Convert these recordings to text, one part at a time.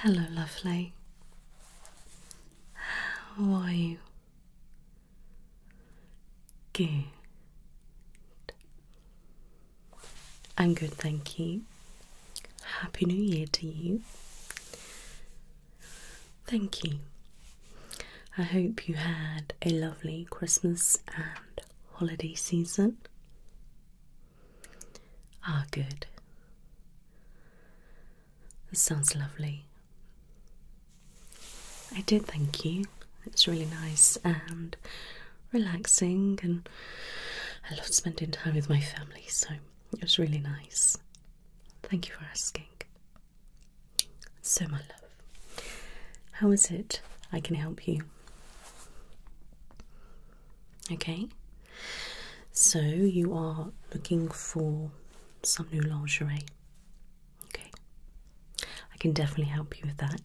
Hello, lovely. How are you? Good. I'm good, thank you. Happy New Year to you. Thank you. I hope you had a lovely Christmas and holiday season. Ah, good. This sounds lovely. I did thank you. It's really nice and relaxing, and I love spending time with my family, so it was really nice. Thank you for asking. So, my love, how is it I can help you? Okay, so you are looking for some new lingerie. Okay, I can definitely help you with that.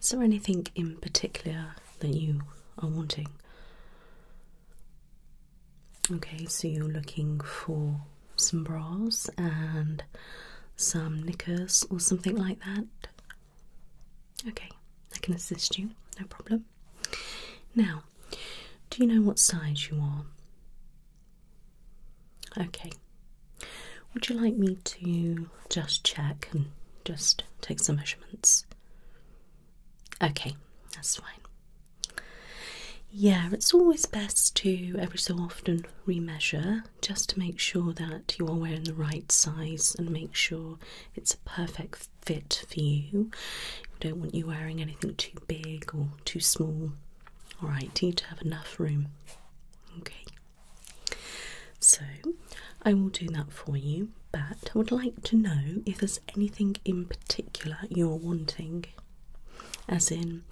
Is there anything in particular that you are wanting? Okay, so you're looking for some bras and some knickers or something like that. Okay, I can assist you, no problem. Now, do you know what size you are? Okay, would you like me to just check and just take some measurements? Okay, that's fine. Yeah, it's always best to every so often re-measure just to make sure that you are wearing the right size and make sure it's a perfect fit for you. We don't want you wearing anything too big or too small. Alright, you need to have enough room. Okay. So I will do that for you, but I would like to know if there's anything in particular you're wanting. As in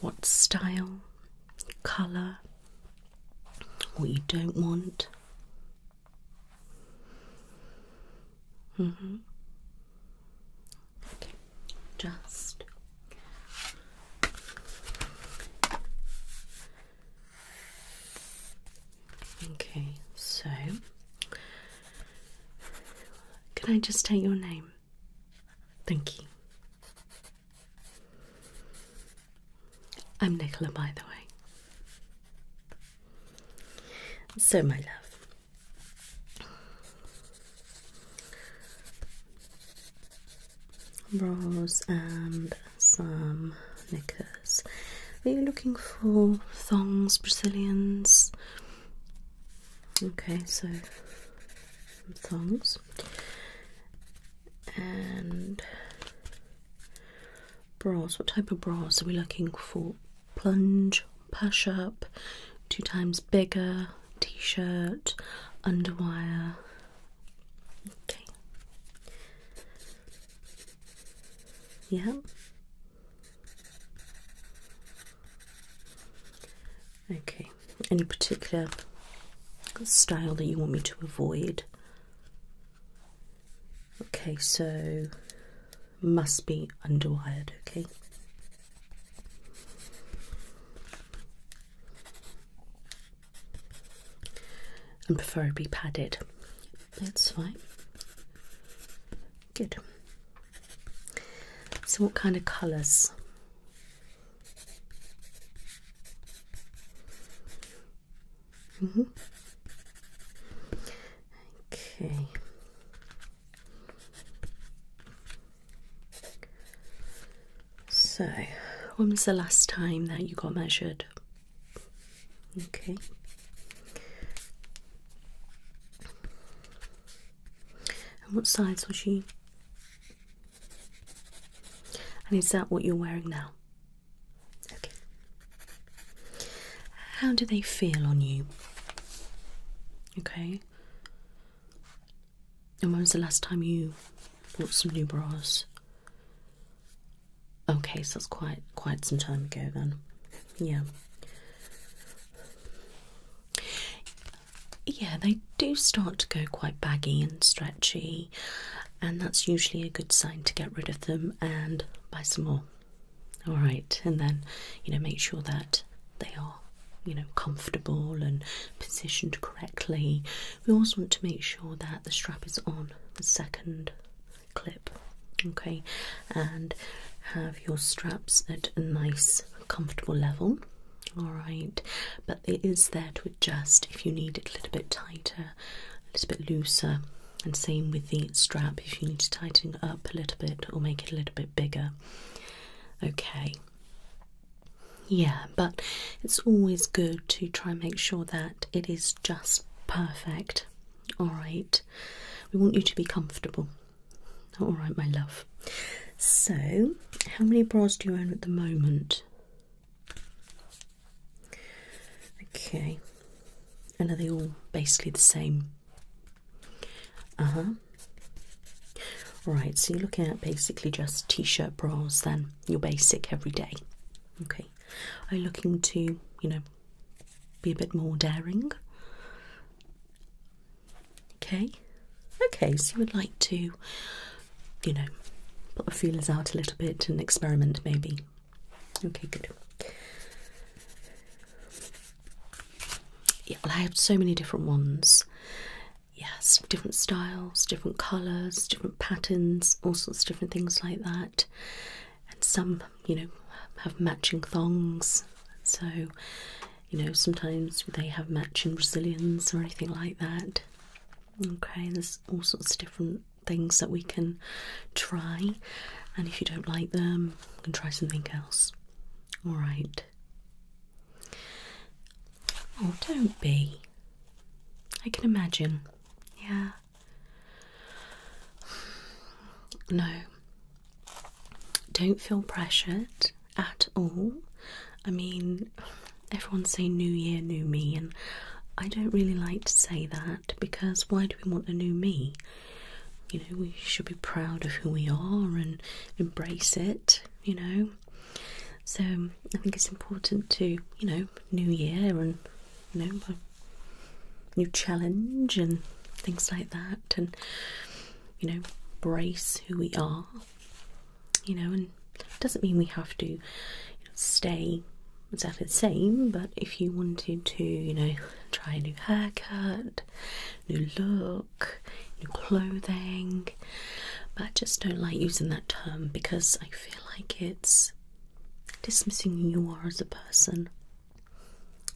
what style, colour, what you don't want. Mm-hmm. Okay. Just Okay, so can I just take your name? Thank you. I'm Nicola, by the way. So, my love, bras and some knickers. Are you looking for thongs, Brazilians? Okay, so thongs and bras. What type of bras are we looking for? Plunge, push up, two times bigger, t shirt, underwire. Okay. Yeah. Okay. Any particular style that you want me to avoid? Okay, so must be underwired, okay? And preferably padded. That's fine. Good. So, what kind of colours? Okay. So, when was the last time that you got measured? Okay. And what size was you? And is that what you're wearing now? Okay. How do they feel on you? Okay. And when was the last time you bought some new bras? Okay, so that's quite quite some time ago then. Yeah. Yeah, they do start to go quite baggy and stretchy and that's usually a good sign to get rid of them and buy some more. All right, and then you know, make sure that they are you know comfortable and positioned correctly. We also want to make sure that the strap is on the second clip, okay, and have your straps at a nice, comfortable level. All right, but it is there to adjust if you need it a little bit tighter a little bit looser and same with the strap if you need to tighten it up a little bit or make it a little bit bigger okay yeah but it's always good to try and make sure that it is just perfect all right we want you to be comfortable all right my love so how many bras do you own at the moment Okay. And are they all basically the same? Uh huh. Right, so you're looking at basically just t shirt bras, then your basic everyday. Okay. Are you looking to, you know, be a bit more daring? Okay. Okay, so you would like to, you know, put the feelers out a little bit and experiment maybe. Okay, good. Yeah, well, I have so many different ones. Yes, different styles, different colours, different patterns, all sorts of different things like that. And some, you know, have matching thongs. So, you know, sometimes they have matching Brazilians or anything like that. Okay, there's all sorts of different things that we can try, and if you don't like them, can try something else. All right. Oh, don't be. I can imagine. Yeah. No. Don't feel pressured at all. I mean, everyone's saying New Year, New Me, and I don't really like to say that because why do we want a new me? You know, we should be proud of who we are and embrace it, you know. So I think it's important to, you know, new year and, you know, new challenge and things like that and, you know, embrace who we are, you know, and doesn't mean we have to you know, stay exactly the same, but if you wanted to, you know, try a new haircut, new look, new clothing, but I just don't like using that term because I feel like it's dismissing who you are as a person.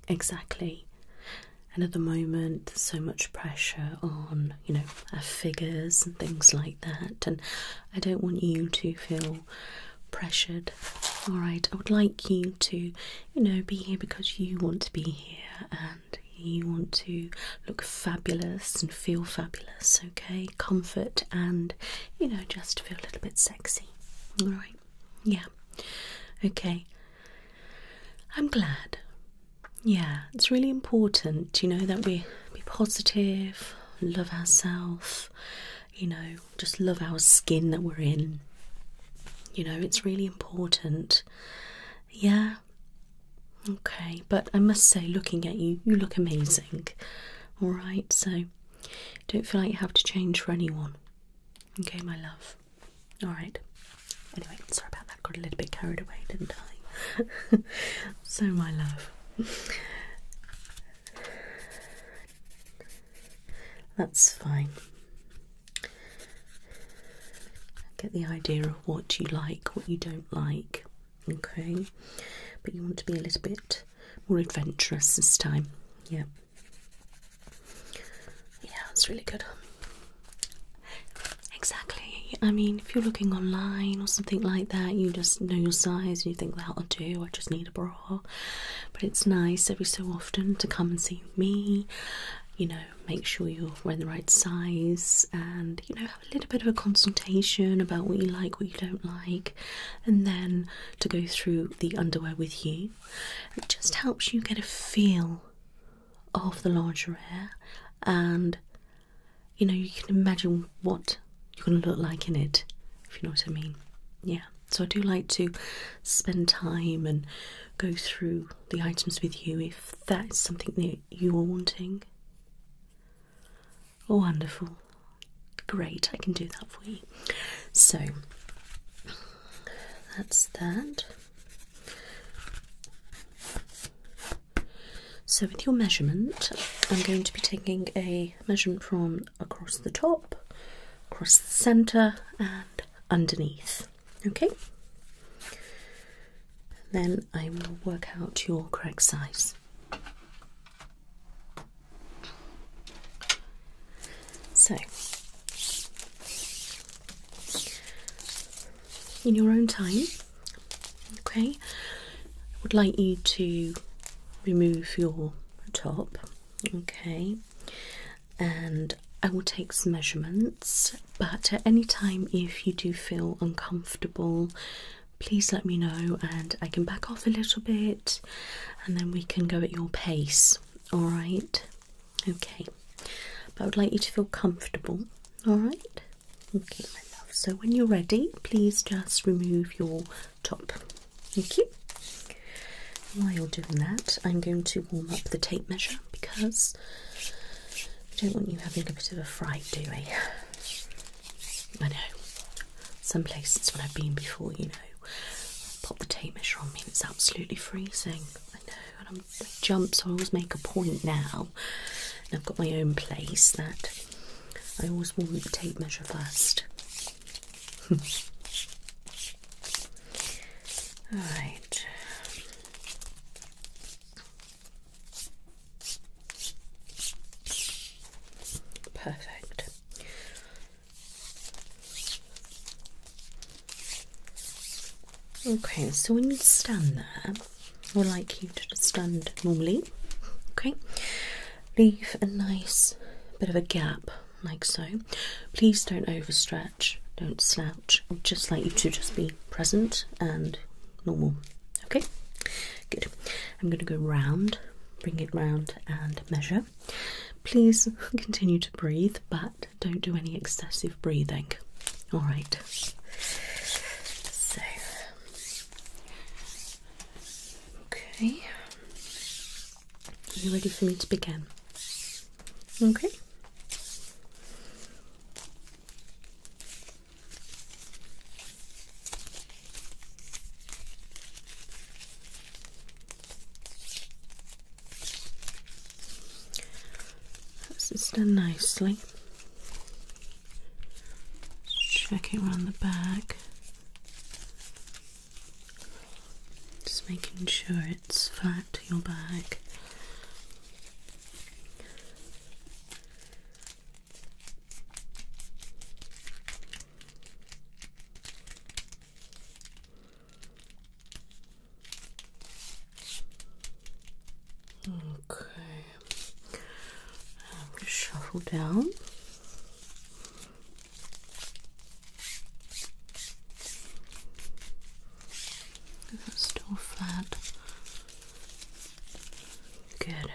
Exactly. And at the moment, there's so much pressure on, you know, our figures and things like that. And I don't want you to feel pressured. Alright, I would like you to, you know, be here because you want to be here and you want to look fabulous and feel fabulous, okay? Comfort and, you know, just feel a little bit sexy. Alright, yeah, okay. I'm glad. Yeah, it's really important, you know, that we be positive, love ourselves, you know, just love our skin that we're in. You know, it's really important. Yeah. Okay, but I must say, looking at you, you look amazing. Alright, so don't feel like you have to change for anyone. Okay, my love. Alright. Anyway, sorry about that, got a little bit carried away, didn't I? so, my love. That's fine. Get the idea of what you like, what you don't like, okay? But you want to be a little bit more adventurous this time, yeah. Yeah, that's really good. Exactly. I mean, if you're looking online or something like that, you just know your size and you think that'll do. I just need a bra. But it's nice every so often to come and see me, you know, make sure you're wearing the right size and, you know, have a little bit of a consultation about what you like, what you don't like, and then to go through the underwear with you. It just helps you get a feel of the lingerie and you know you can imagine what you're going to look like in it, if you know what I mean. Yeah, so I do like to spend time and go through the items with you if that is something that you are wanting. Oh, wonderful. Great, I can do that for you. So, that's that. So with your measurement, I'm going to be taking a measurement from across the top across the center and underneath. Okay? Then I will work out your correct size. So, in your own time, okay, I would like you to remove your top Okay, and I will take some measurements, but at any time, if you do feel uncomfortable, please let me know and I can back off a little bit and then we can go at your pace. All right, okay, but I would like you to feel comfortable. All right, okay, my love. So, when you're ready, please just remove your top. Okay. While you're doing that, I'm going to warm up the tape measure because I don't want you having a bit of a fright, do we? I know. Some places when I've been before, you know, pop the tape measure on me and it's absolutely freezing. I know, and i jump, so I always make a point now. And I've got my own place that I always warm the tape measure first. All right. Perfect. Okay, so when you stand there, I would like you to stand normally. Okay, leave a nice bit of a gap like so. Please don't overstretch, don't slouch. just like you to just be present and normal. Okay, good. I'm going to go round, bring it round, and measure. Please continue to breathe, but don't do any excessive breathing. All right. So, okay. Are you ready for me to begin? Okay. That's just done nicely. Check it around the back. Just making sure it's flat to your bag. Okay, um, shuffle down. That's still flat. Good.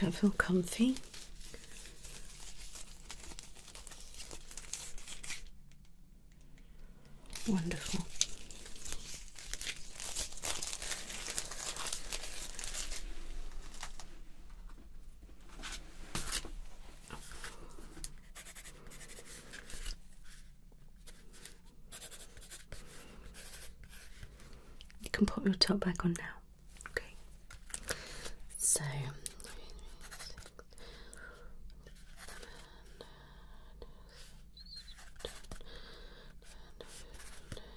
Don't feel comfy. Wonderful. You can put your top back on now. Okay. So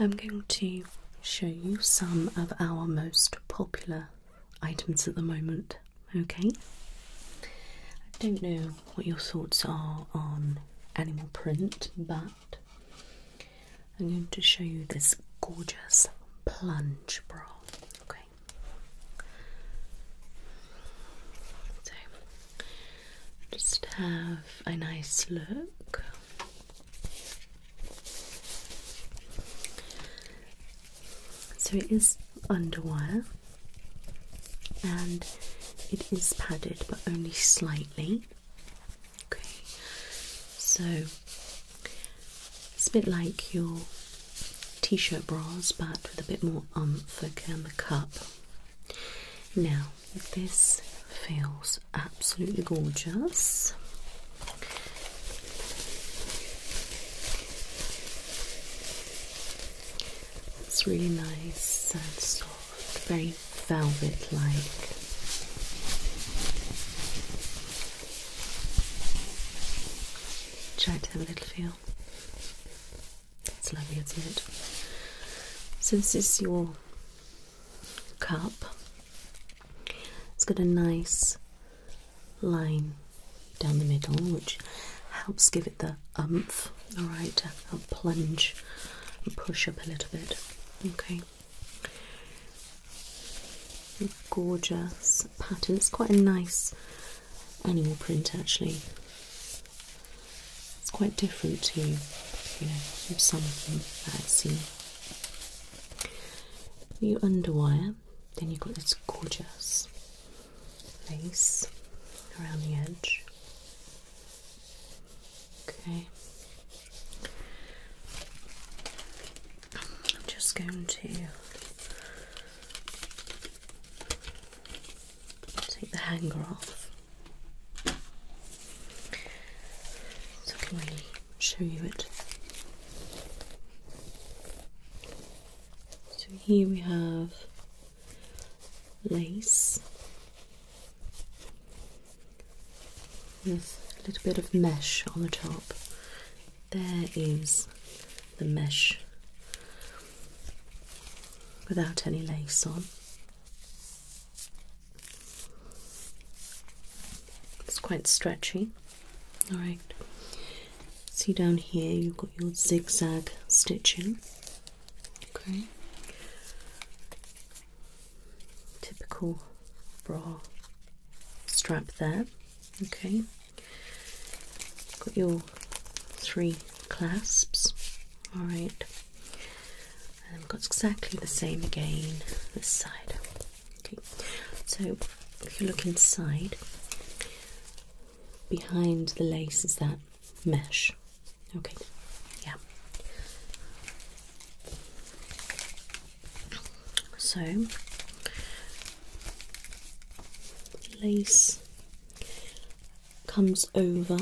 I'm going to show you some of our most popular items at the moment, okay? I don't know what your thoughts are on animal print, but I'm going to show you this gorgeous plunge bra, okay? So, just have a nice look so it is underwire and it is padded but only slightly. Okay, so it's a bit like your t shirt bras but with a bit more umph, okay, the cup. Now, this feels absolutely gorgeous. It's really nice and soft, very velvet like. Try to have a little feel. It's lovely, isn't it? So, this is your cup. It's got a nice line down the middle, which helps give it the umph, alright, to help plunge and push up a little bit. Okay. Gorgeous pattern. It's quite a nice animal print actually. It's quite different to, you know, some of them that I've seen. You underwire, then you've got this gorgeous lace around the edge. Okay. I'm just going to take the hanger off. So can we show you it. So here we have lace with a little bit of mesh on the top. There is the mesh without any lace on. It's quite stretchy. Alright. See down here, you've got your zigzag stitching. Okay. Typical bra strap there. Okay. Got your three clasps. Alright and I've got exactly the same again this side. Okay, so if you look inside, behind the lace is that mesh. Okay, yeah. So lace comes over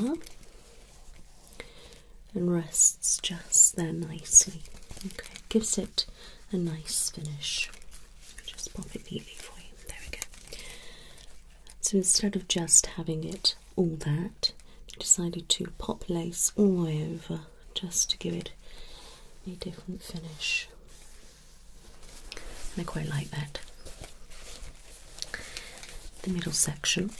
and rests just there nicely. Okay, gives it a nice finish. Just pop it neatly for you. There we go. So instead of just having it all that, decided to pop lace all the way over just to give it a different finish. And I quite like that. The middle section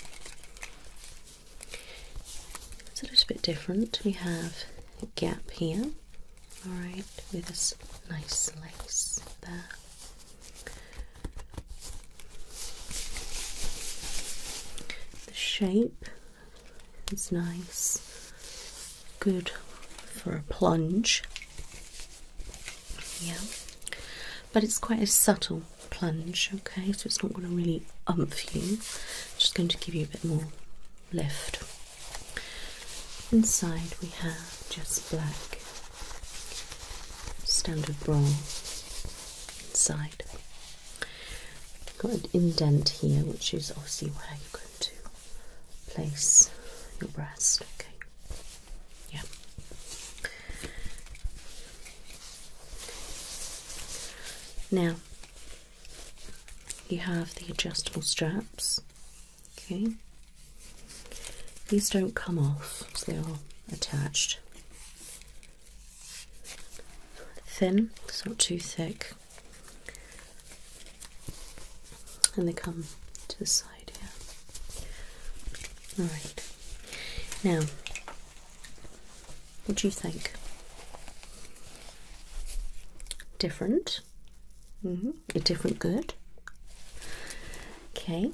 it's a little bit different. We have a gap here, alright, with this nice lace there. The shape is nice, good for a plunge. Yeah, but it's quite a subtle plunge, okay? So it's not going to really umph you, just going to give you a bit more lift. Inside we have just black standard bra inside. Got an indent here, which is obviously where you're going to place your breast, okay? Yeah. Now, you have the adjustable straps. Okay, these don't come off, so they are attached. Thin, so not too thick, and they come to the side here. All right, now what do you think? Different? Mm-hmm. A different good? Okay.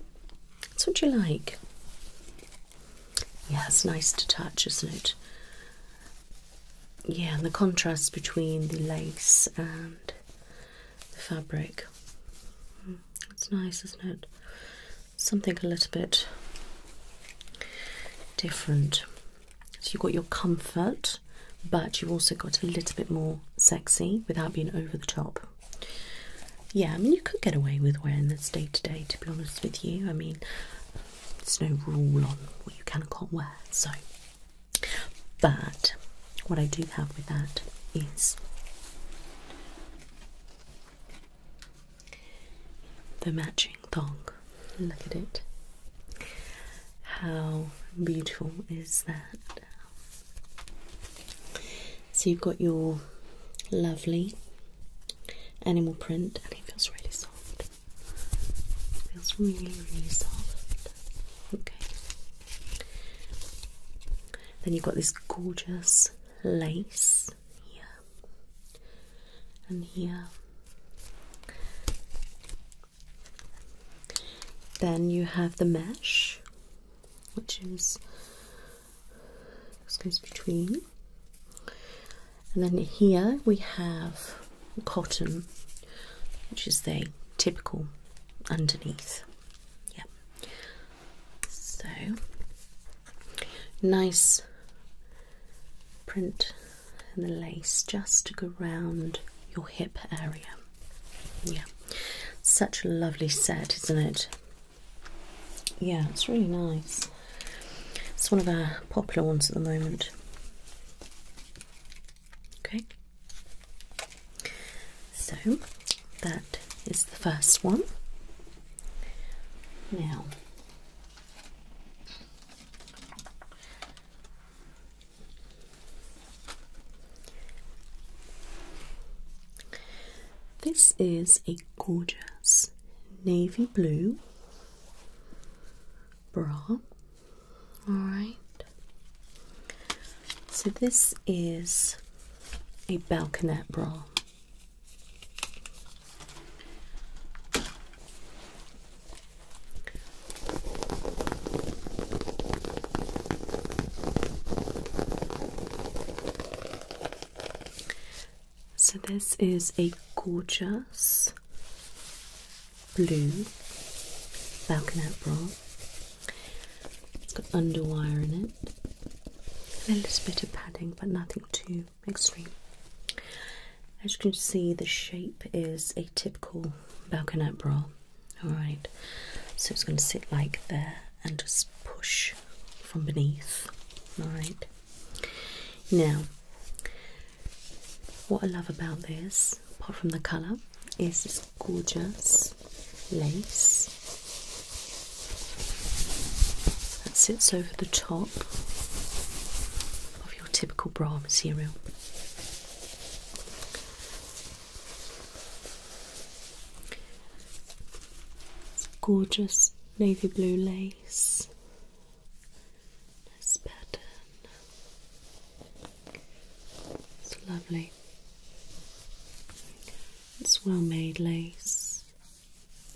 That's what you like. Yeah, it's nice to touch, isn't it? Yeah, and the contrast between the lace and the fabric. It's hmm, nice, isn't it? something a little bit different. So you've got your comfort, but you've also got a little bit more sexy without being over the top. Yeah, I mean, you could get away with wearing this day to day, to be honest with you. I mean, there's no rule on what you can and can't wear, so. But what I do have with that is the matching thong. Look at it. How beautiful is that? So you've got your lovely animal print, and it feels really soft. feels really, really soft. Okay. Then you've got this gorgeous lace here and here. Then you have the mesh, which is goes between, and then here we have cotton, which is the typical underneath. Yeah. So nice print and the lace just to go round your hip area. Yeah, such a lovely set, isn't it? Yeah, it's really nice. It's one of our popular ones at the moment. Okay, so that is the first one. Now, this is a gorgeous navy blue bra. All right. So this is a balconette bra. So, this is a gorgeous blue balconette bra. It's got underwire in it, and a little bit of padding, but nothing too extreme. As you can see, the shape is a typical balconette bra. Alright, so it's going to sit like there and just push from beneath. Alright, now what I love about this, apart from the colour, is this gorgeous lace that sits over the top of your typical bra material. It's gorgeous navy blue lace. Nice pattern. It's lovely. It's well made lace.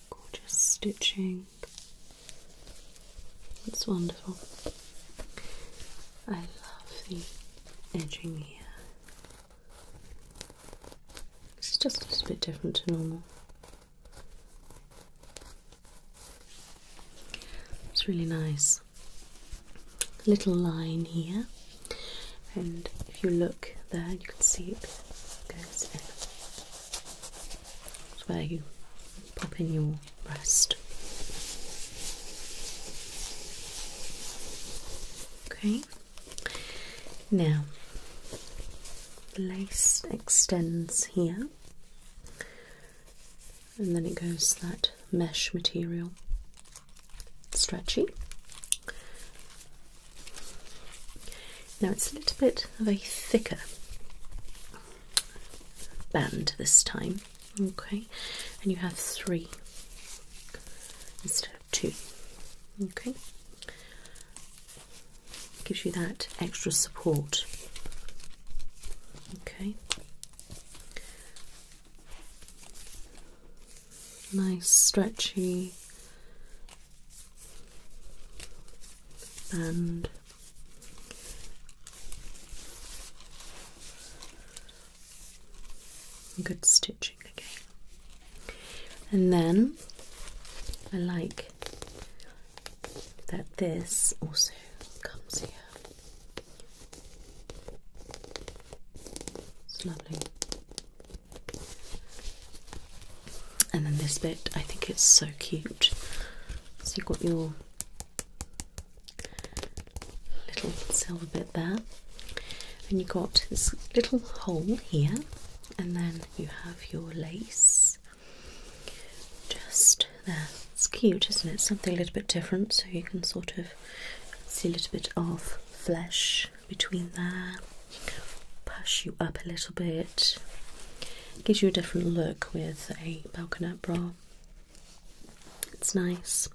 Gorgeous stitching. It's wonderful. I love the edging here. This is just a little bit different to normal. It's really nice. A little line here, and if you look there, you can see it goes where you pop in your breast. Okay, now the lace extends here and then it goes that mesh material, stretchy. Now it's a little bit of a thicker band this time, okay? And you have three instead of two, okay? Gives you that extra support, okay? Nice stretchy band. Good stitching again. And then I like that this also comes here. It's lovely. And then this bit, I think it's so cute. So you've got your little silver bit there, and you've got this little hole here, and then you have your lace just there. It's cute, isn't it? Something a little bit different, so you can sort of see a little bit of flesh between there, push you up a little bit gives you a different look with a balconette bra. It's nice.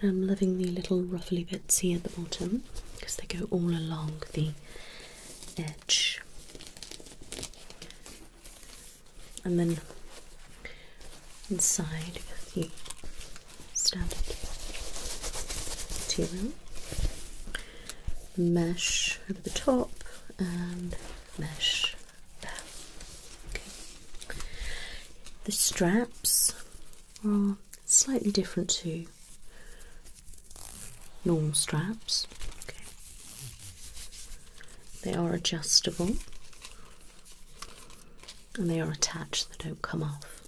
And I'm loving the little ruffly bits here at the bottom because they go all along the edge. And then inside the standard material mesh over the top and mesh there. Okay. The straps are slightly different to normal straps. Okay. They are adjustable and they are attached, they don't come off.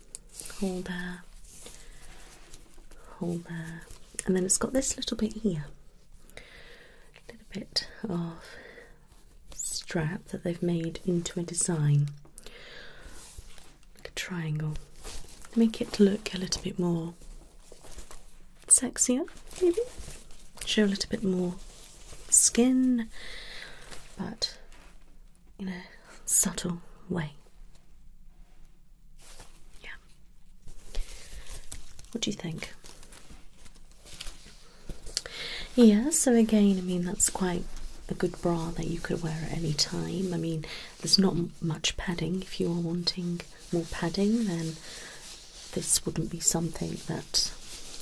Hold there, hold there and then it's got this little bit here a little bit of strap that they've made into a design like a triangle make it look a little bit more sexier maybe show a little bit more skin but in a subtle way yeah what do you think? Yeah, so again, I mean, that's quite a good bra that you could wear at any time. I mean, there's not much padding. If you are wanting more padding, then this wouldn't be something that,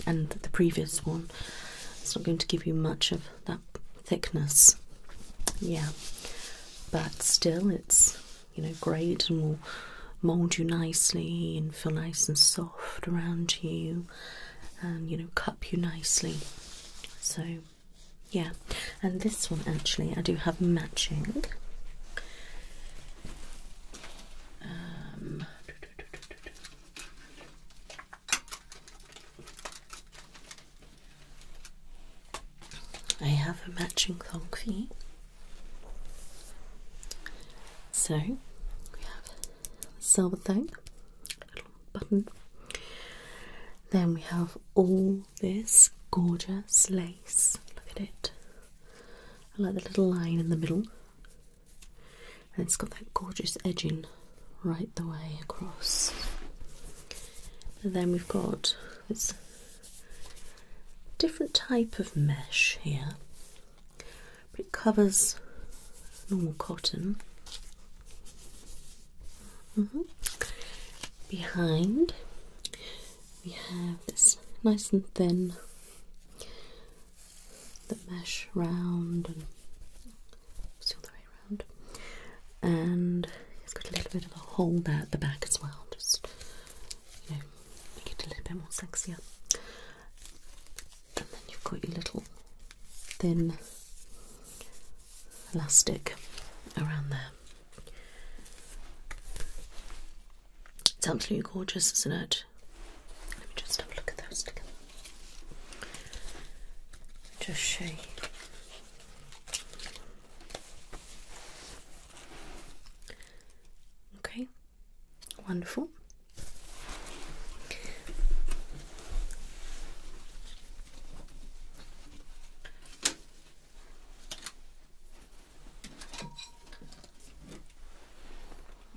and the previous one, it's not going to give you much of that thickness. Yeah, but still, it's you know, great and will mould you nicely and feel nice and soft around you and, um, you know, cup you nicely. So, yeah. And this one, actually, I do have matching. Um, I have a matching thong so we have the silver thing, a little button. Then we have all this gorgeous lace. Look at it. I like the little line in the middle. And it's got that gorgeous edging right the way across. then we've got this different type of mesh here, but it covers normal cotton. Mm-hmm. Behind, we have this nice and thin, the mesh round and it's the way around, and it's got a little bit of a hole there at the back as well, just you know, make it a little bit more sexier. And then you've got your little thin elastic around there. It's absolutely gorgeous, isn't it? Let me just have a look at those together. Just show you. Okay, Wonderful.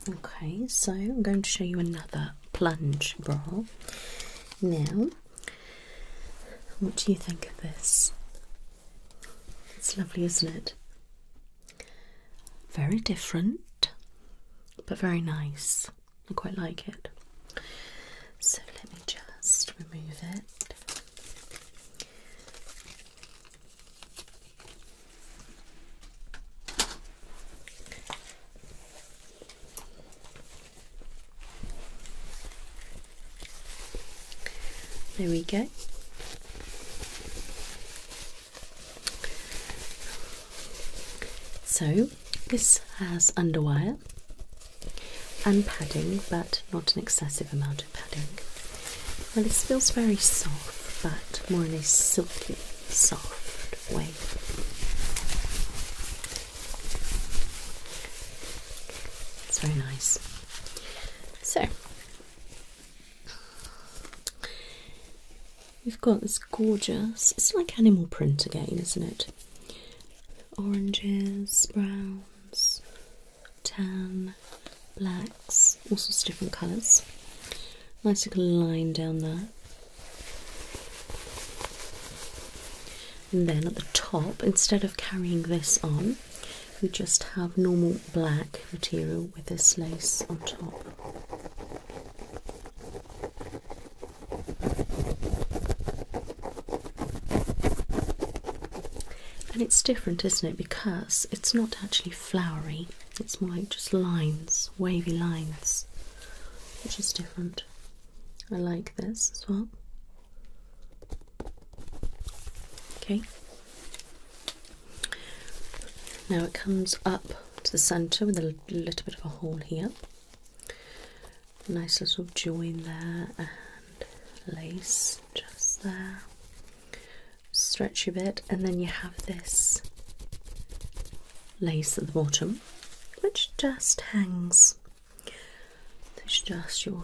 Okay, so I'm going to show you another plunge bra. Now, what do you think of this? It's lovely, isn't it? Very different, but very nice. I quite like it. So let me just remove it. There we go. So this has underwire and padding, but not an excessive amount of padding. Well, this feels very soft, but more in a silky, soft way. It's very nice. So, We've got this gorgeous, it's like animal print again, isn't it? Oranges, browns, tan, blacks, all sorts of different colours. Nice little line down there. And then at the top, instead of carrying this on, we just have normal black material with this lace on top. And it's different, isn't it? Because it's not actually flowery, it's more like just lines, wavy lines, which is different. I like this as well. Okay, now it comes up to the centre with a little bit of a hole here. Nice little join there and lace just there. Stretch a bit, and then you have this lace at the bottom, which just hangs. It's just your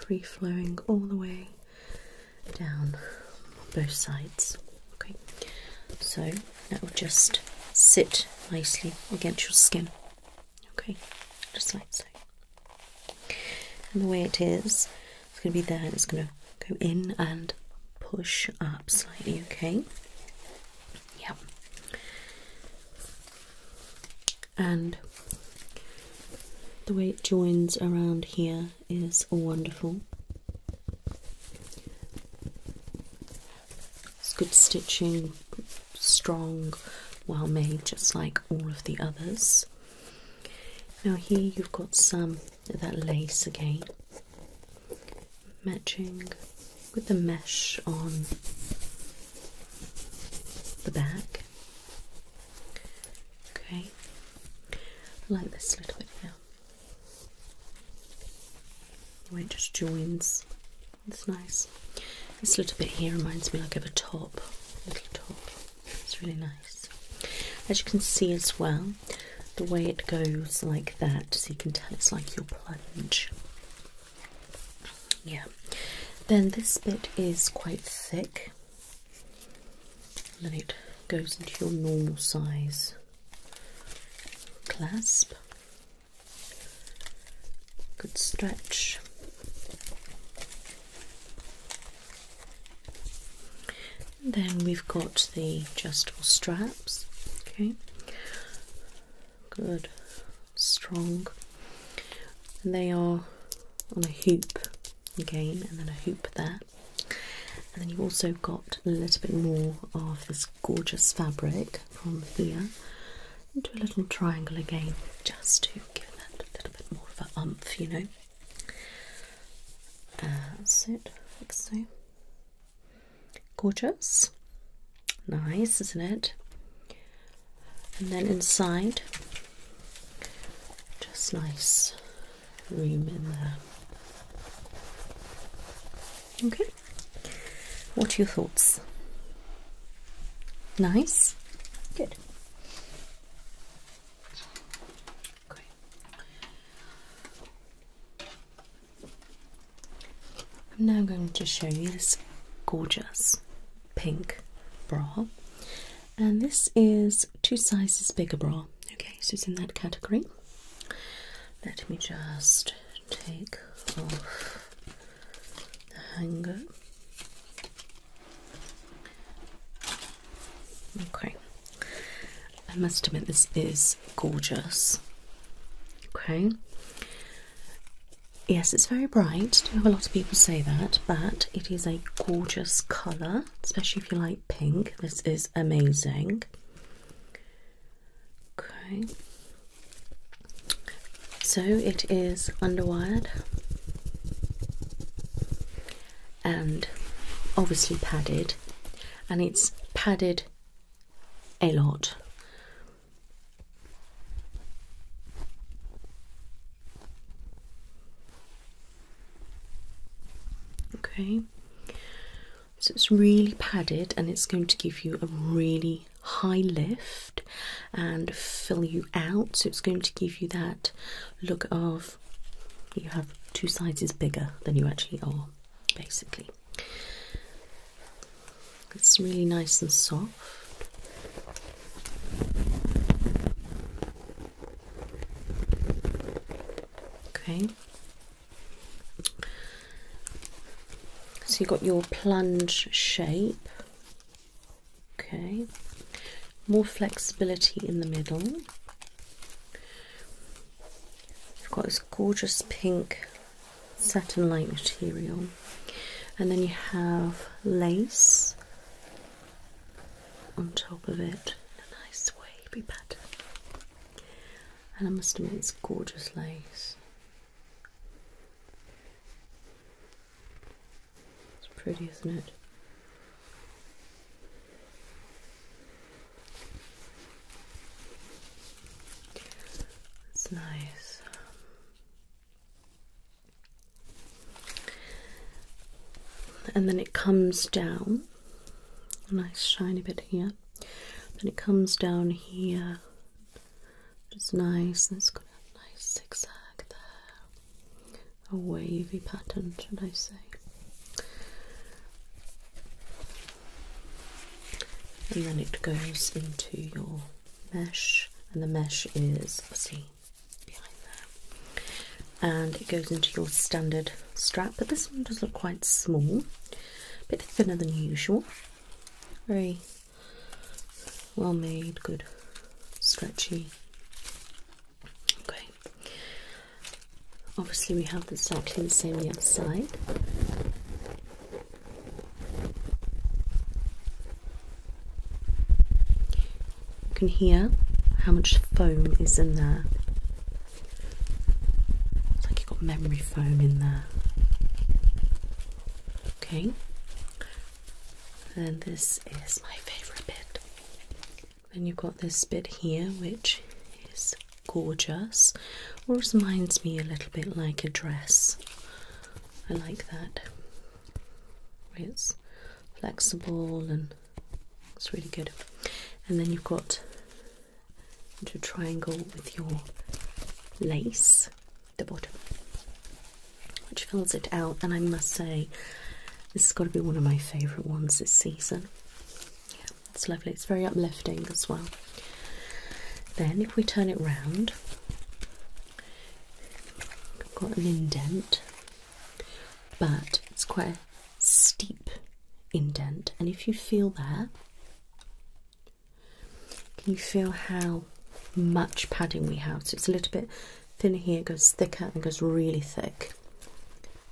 free flowing all the way down both sides. Okay, so that will just sit nicely against your skin. Okay, just like so. And the way it is, it's going to be there and it's going to go in and push up slightly. Okay, yep. And the way it joins around here is wonderful. It's good stitching, strong, well made, just like all of the others. Now, here you've got some of that lace again, matching with the mesh on the back. Okay, like this a little bit here, the way it just joins. It's nice. This little bit here reminds me like of a top, a little top. It's really nice. As you can see as well, the way it goes like that, so you can tell it's like your plunge. Yeah. Then this bit is quite thick then it goes into your normal size clasp. Good stretch. then we've got the adjustable straps. Okay, good, strong, and they are on a hoop again, and then a hoop there. And then you've also got a little bit more of this gorgeous fabric from here into a little triangle again, just to give that a little bit more of a umph, you know. That's uh, it, Let's see. Gorgeous. Nice, isn't it? And then inside, just nice room in there. Okay, what are your thoughts? Nice, good. I'm now going to show you this gorgeous pink bra and this is two sizes bigger bra. Okay, so it's in that category. Let me just take off the hanger. Okay, I must admit, this is gorgeous. Okay, yes, it's very bright. I do have a lot of people say that, but it is a gorgeous colour, especially if you like pink. This is amazing. Okay. So it is underwired and obviously padded, and it's padded a lot. Okay, so it's really padded and it's going to give you a really high lift and fill you out. So it's going to give you that look of you have two sizes bigger than you actually are, basically. It's really nice and soft. Okay. So you've got your plunge shape. Okay. More flexibility in the middle. You've got this gorgeous pink satin like material. And then you have lace on top of it a nice wavy pattern. And I must admit, it's gorgeous lace. It's pretty, isn't it? It's nice. And then it comes down a nice shiny bit here. Then it comes down here, which is nice. And it's got a nice zigzag there, a wavy pattern, should I say? And then it goes into your mesh, and the mesh is a seam behind there and it goes into your standard strap, but this one does look quite small, a bit thinner than usual. Very well made, good, stretchy. Okay. Obviously, we have exactly the same on the side. You can hear how much foam is in there. It's like you've got memory foam in there. Okay. And this is my favourite bit. Then you've got this bit here, which is gorgeous. It reminds me a little bit like a dress. I like that. It's flexible and it's really good. And then you've got into a triangle with your lace at the bottom, which fills it out. And I must say, this has got to be one of my favourite ones this season. it's lovely. It's very uplifting as well. Then, if we turn it round, I've got an indent but it's quite a steep indent. And if you feel that, can you feel how much padding we have? So it's a little bit thinner here, It goes thicker and goes really thick.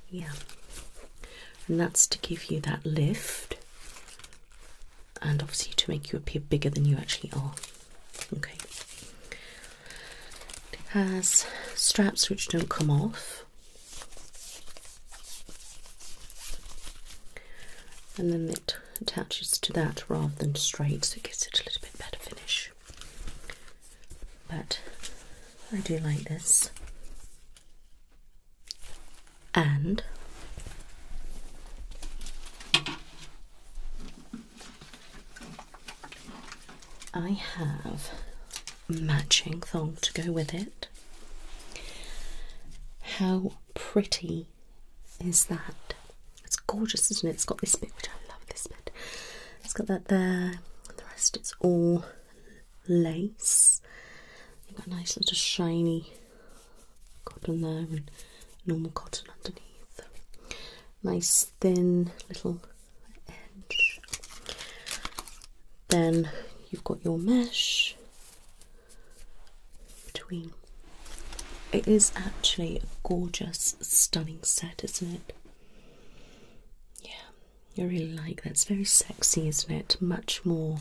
Yeah, and that's to give you that lift and obviously to make you appear bigger than you actually are. Okay, it has straps which don't come off. And then it attaches to that rather than straight, so it gives it a little bit better finish. But I do like this. And I have matching thong to go with it. How pretty is that? It's gorgeous, isn't it? It's got this bit, which I love this bit. It's got that there, the rest it's all lace. You've got a nice little shiny cotton there and normal cotton underneath. Nice thin little then you've got your mesh between. It is actually a gorgeous, stunning set, isn't it? Yeah, I really like that. It's very sexy, isn't it? Much more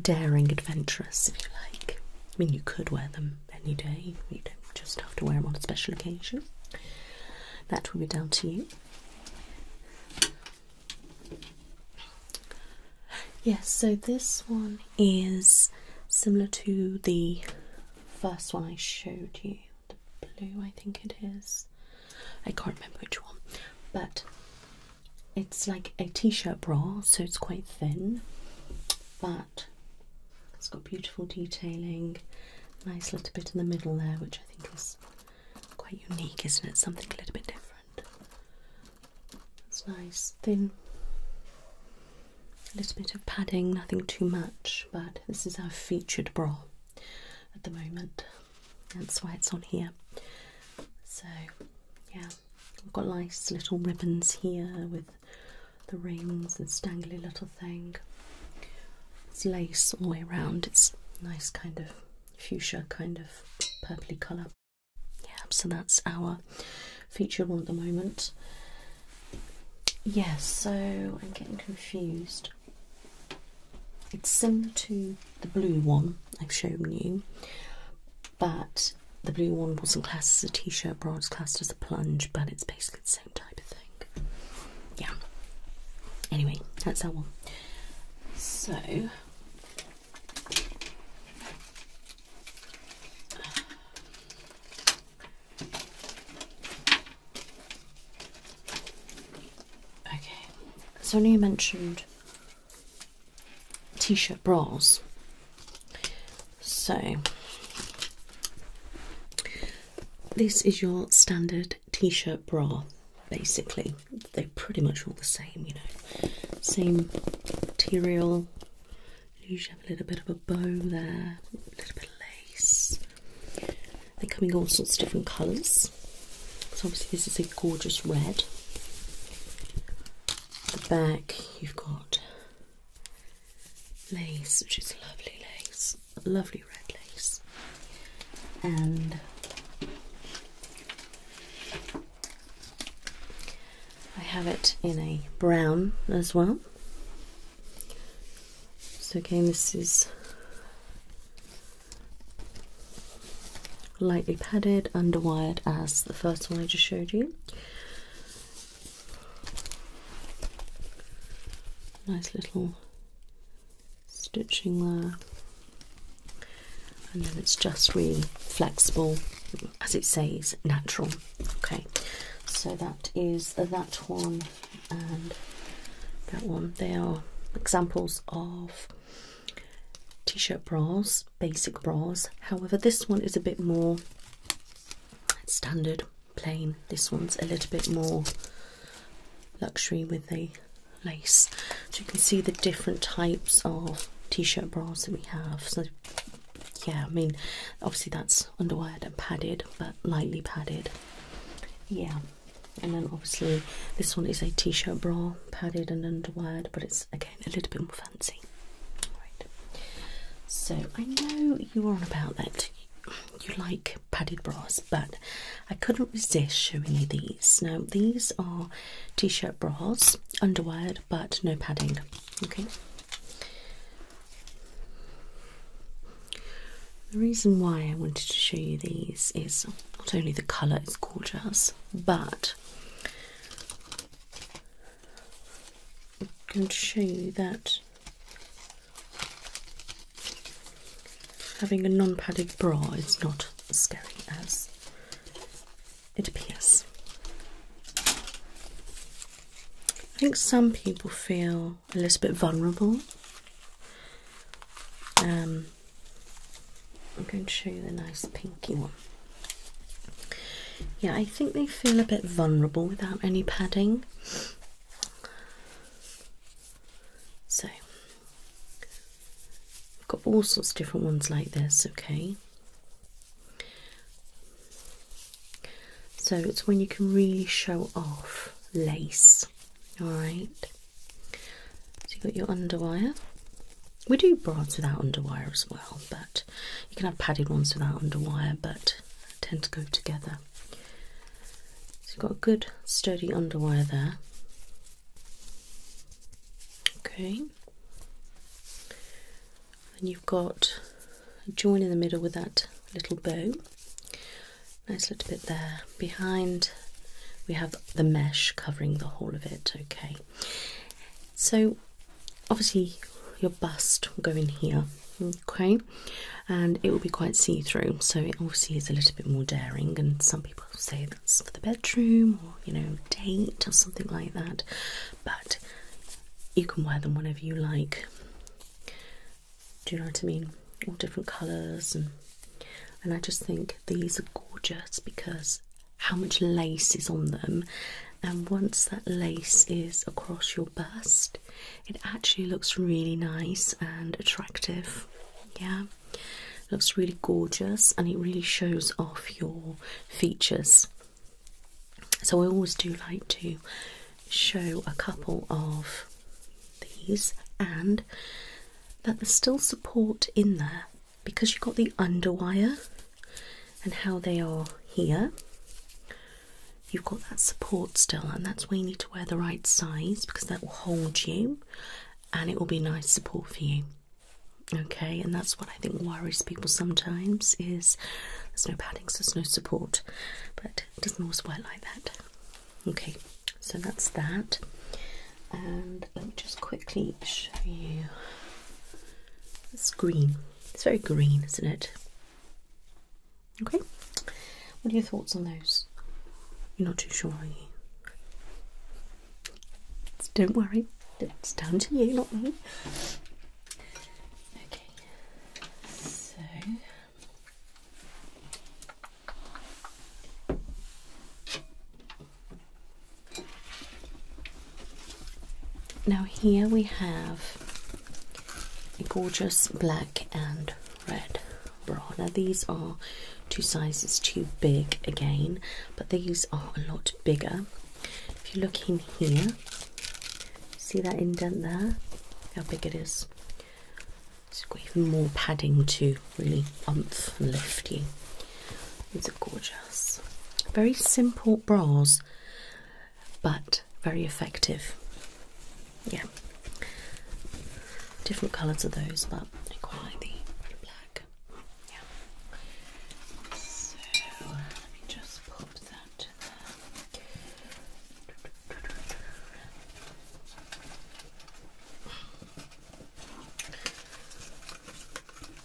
daring, adventurous, if you like. I mean, you could wear them any day, you don't just have to wear them on a special occasion. That will be down to you. Yes, so this one is similar to the first one I showed you, the blue, I think it is. I can't remember which one, but it's like a t shirt bra, so it's quite thin, but it's got beautiful detailing, nice little bit in the middle there, which I think is Quite unique, isn't it? Something a little bit different. That's nice. Thin. A little bit of padding, nothing too much, but this is our featured bra at the moment. That's why it's on here. So, yeah, we've got nice little ribbons here with the rings and stangly little thing. It's lace all the way around. It's nice kind of fuchsia kind of purply colour. Yeah, so that's our feature one at the moment. Yes, yeah, so I'm getting confused. It's similar to the blue one I've shown you, but the blue one wasn't classed as a t-shirt bra, it's classed as a plunge, but it's basically the same type of thing. Yeah. Anyway, that's that one. So okay. So, Sonia mentioned t-shirt bras. So this is your standard t-shirt bra basically they're pretty much all the same you know same material usually have a little bit of a bow there a little bit of lace they come in all sorts of different colours so obviously this is a gorgeous red At the back you've got lace which is lovely lace lovely red lace and I have it in a brown as well. So again this is lightly padded, underwired as the first one I just showed you. Nice little stitching there and then it's just really flexible as it says natural okay so that is that one and that one they are examples of t-shirt bras basic bras however this one is a bit more standard plain this one's a little bit more luxury with the lace. So you can see the different types of t-shirt bras that we have. So yeah, I mean, obviously that's underwired and padded, but lightly padded. Yeah, and then obviously this one is a t-shirt bra, padded and underwired, but it's again a little bit more fancy. Right. So I know you were on about that you like padded bras, but I couldn't resist showing you these. Now, these are t shirt bras, underwired, but no padding. Okay. The reason why I wanted to show you these is not only the colour is gorgeous, but I'm going to show you that Having a non padded bra is not as scary as it appears. I think some people feel a little bit vulnerable. Um, I'm going to show you the nice pinky one. Yeah, I think they feel a bit vulnerable without any padding. So, I've got all sorts of different ones like this, okay? So, it's when you can really show off lace, alright? So, you've got your underwire. We do bras without underwire as well, but you can have padded ones without underwire, but tend to go together. So, you've got a good sturdy underwire there. Okay. And you've got a join in the middle with that little bow. Nice little bit there. Behind we have the mesh covering the whole of it. Okay. So obviously your bust will go in here. Okay. And it will be quite see-through, so it obviously is a little bit more daring and some people say that's for the bedroom or you know date or something like that but you can wear them whenever you like do you know what I mean all different colours and and I just think these are gorgeous because how much lace is on them and once that lace is across your bust it actually looks really nice and attractive yeah looks really gorgeous and it really shows off your features. So I always do like to show a couple of these and that there's still support in there because you've got the underwire and how they are here. You've got that support still, and that's why you need to wear the right size because that will hold you and it will be nice support for you. Okay, and that's what I think worries people sometimes is there's no padding, there's no support, but it doesn't all work like that. Okay, so that's that, and let me just quickly show you It's green. It's very green, isn't it? Okay, what are your thoughts on those? You're not too sure, are you? So don't worry, it's down to you, not me. Okay, so now here we have a gorgeous black and red bra. Now these are two sizes too big again, but these are a lot bigger. If you look in here, see that indent there? How big it is. It's got even more padding to really umph and lift you. It's are gorgeous. Very simple bras, but very effective. Yeah different colours of those, but I quite like the black. Yeah. So let me just pop that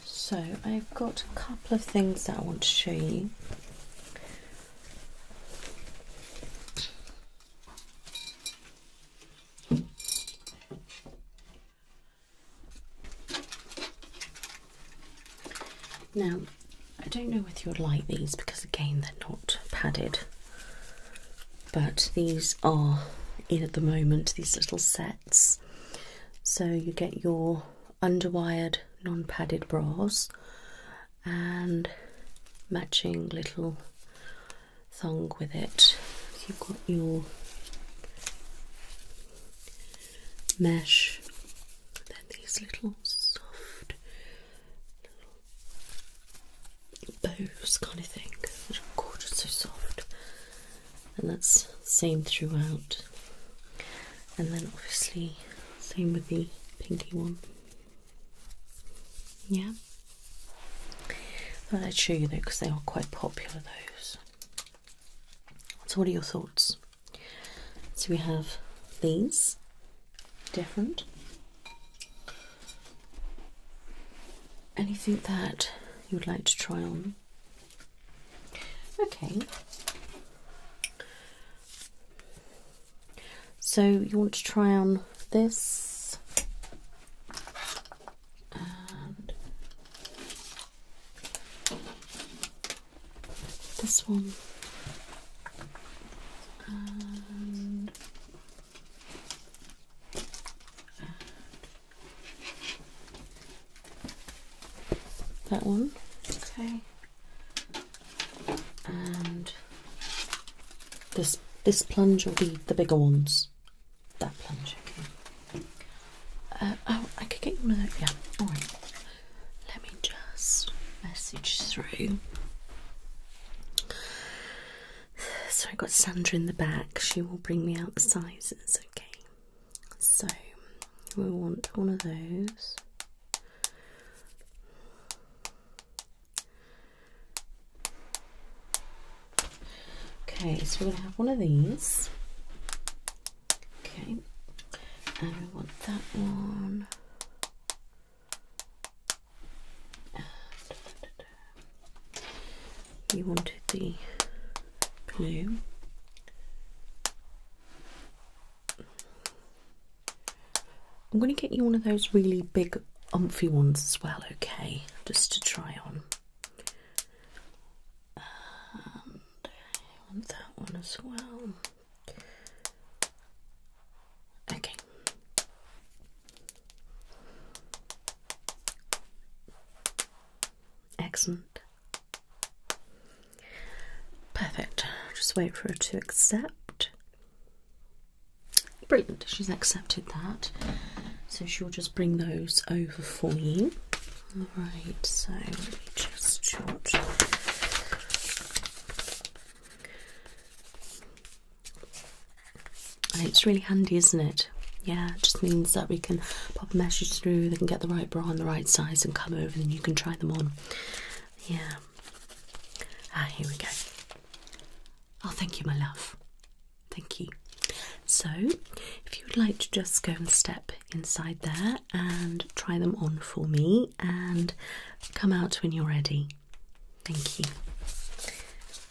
So I've got a couple of things that I want to show you. Now, I don't know if you'll like these because, again, they're not padded, but these are in at the moment, these little sets. So you get your underwired, non padded bras and matching little song with it. you've got your mesh, then these little soft bows kind of thing, which gorgeous, so soft. And that's same throughout. And then obviously same with the pinky one. Yeah. Thought I'd show you though because they are quite popular those. So what are your thoughts? So we have these different. Anything that you would like to try on? Okay. So you want to try on this? and this one and, that one okay and this this plunge will be the bigger ones that plunge, uh, Okay. oh, I could get you one. Yeah. All right. Let me just message through. So I got Sandra in the back. She will bring me out the sizes. Okay. So we want one of those. Okay, so we're going to have one of these. Okay, and we want that one. You wanted the blue. I'm going to get you one of those really big omphy ones as well, okay? Just to try on. Um, I want that one as well. Okay. Excellent. Perfect. Just wait for it to accept. Brilliant, she's accepted that. So she'll just bring those over for you. Alright, so let me just jot. it's really handy, isn't it? Yeah, it just means that we can pop a message through, they can get the right bra and the right size and come over and you can try them on. Yeah. Ah, here we go. Oh, thank you, my love. Thank you. So, if you would like to just go and step inside there and try them on for me and come out when you're ready. Thank you.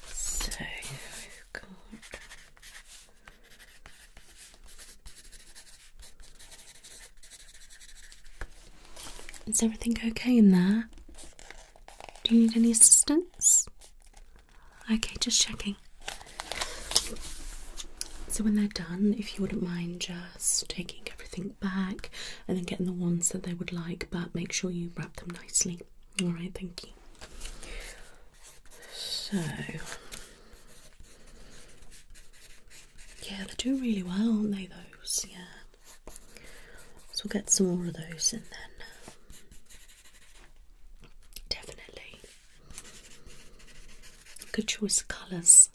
So, Is everything okay in there? Do you need any assistance? Okay, just checking. So, when they're done, if you wouldn't mind just taking everything back and then getting the ones that they would like, but make sure you wrap them nicely. Alright, thank you. So, yeah, they do really well, aren't they? Those, yeah. So, we'll get some more of those and then. Definitely. Good choice of colours.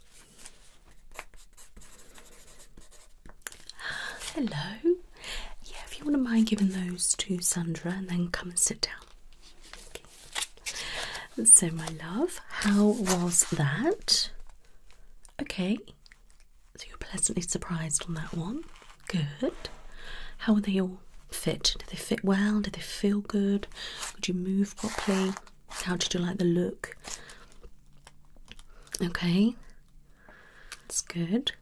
Hello. Yeah, if you wouldn't mind giving those to Sandra and then come and sit down. Okay. So, my love, how was that? Okay, so you're pleasantly surprised on that one. Good. How are they all fit? Do they fit well? Do they feel good? Could you move properly? How did you like the look? Okay, It's good.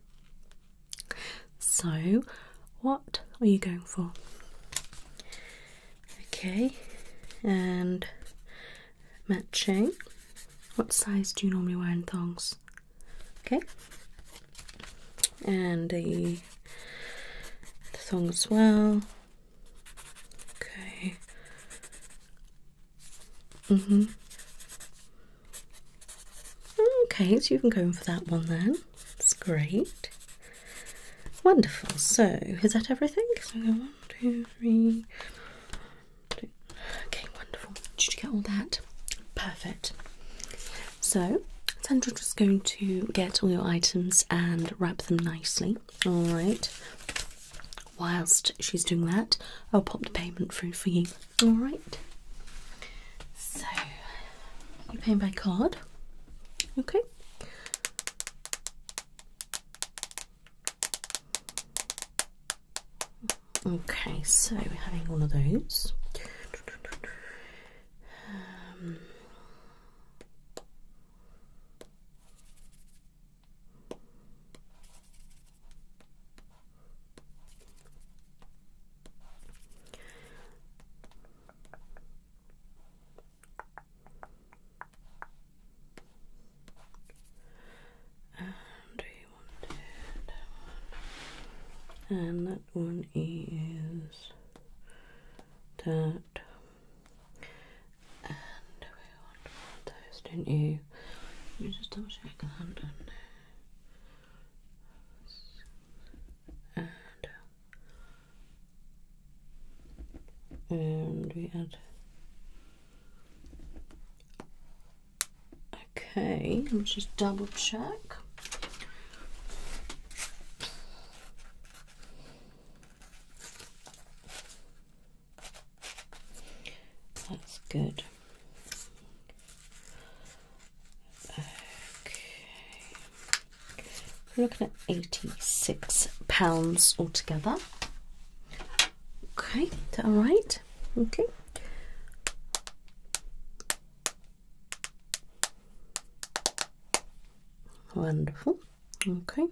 So, what are you going for? Okay, and matching. What size do you normally wear in thongs? Okay, and the, song as well. Okay. Mhm. okay, so you can go in for that one then. That's great. Wonderful. So, is that everything? So, Okay, wonderful. Did you get all that? Perfect. So, Sandra's just going to get all your items and wrap them nicely. All right. Whilst she's doing that, I'll pop the payment through for you. All right. So, you are paying by card? Okay. Okay, so we're having one of those. Um, and do you want that one? And um, that one is that. And we want one of don't you? Let me just double check And, and um, we add. Okay, let me just double check. That's good. Okay. We're looking at eighty-six pounds altogether. Okay, that all right? Okay. Wonderful. Okay.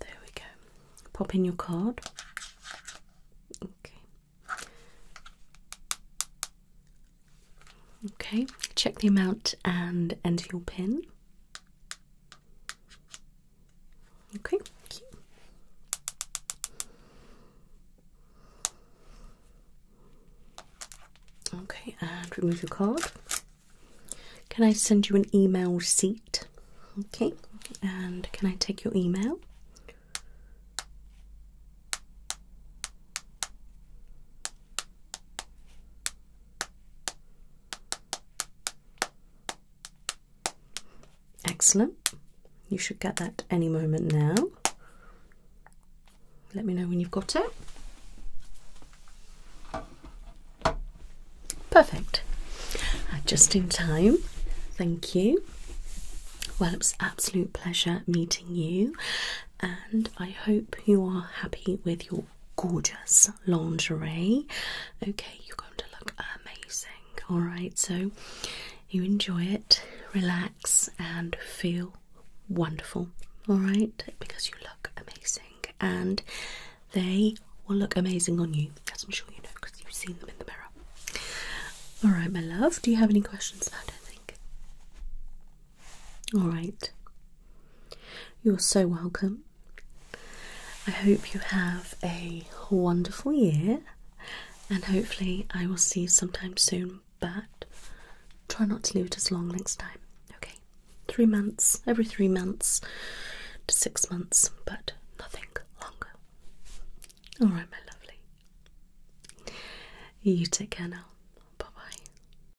There we go. Pop in your card. Okay. Okay. Check the amount and enter your pin. Okay. Okay, and remove your card. Can I send you an email receipt? Okay, and can I take your email? Excellent. You should get that any moment now. Let me know when you've got it. Perfect. Uh, just in time. Thank you. Well, it's absolute pleasure meeting you, and I hope you are happy with your gorgeous lingerie. Okay, you're going to look amazing. All right, so you enjoy it, relax, and feel wonderful, all right? Because you look amazing and they will look amazing on you, as I'm sure you know because you've seen them in the mirror. All right, my love, do you have any questions? I don't think. All right. You're so welcome. I hope you have a wonderful year, and hopefully, I will see you sometime soon but try not to leave it as long next time. Okay, three months, every three months to six months, but nothing longer. All right, my lovely. You take care now. Bye bye.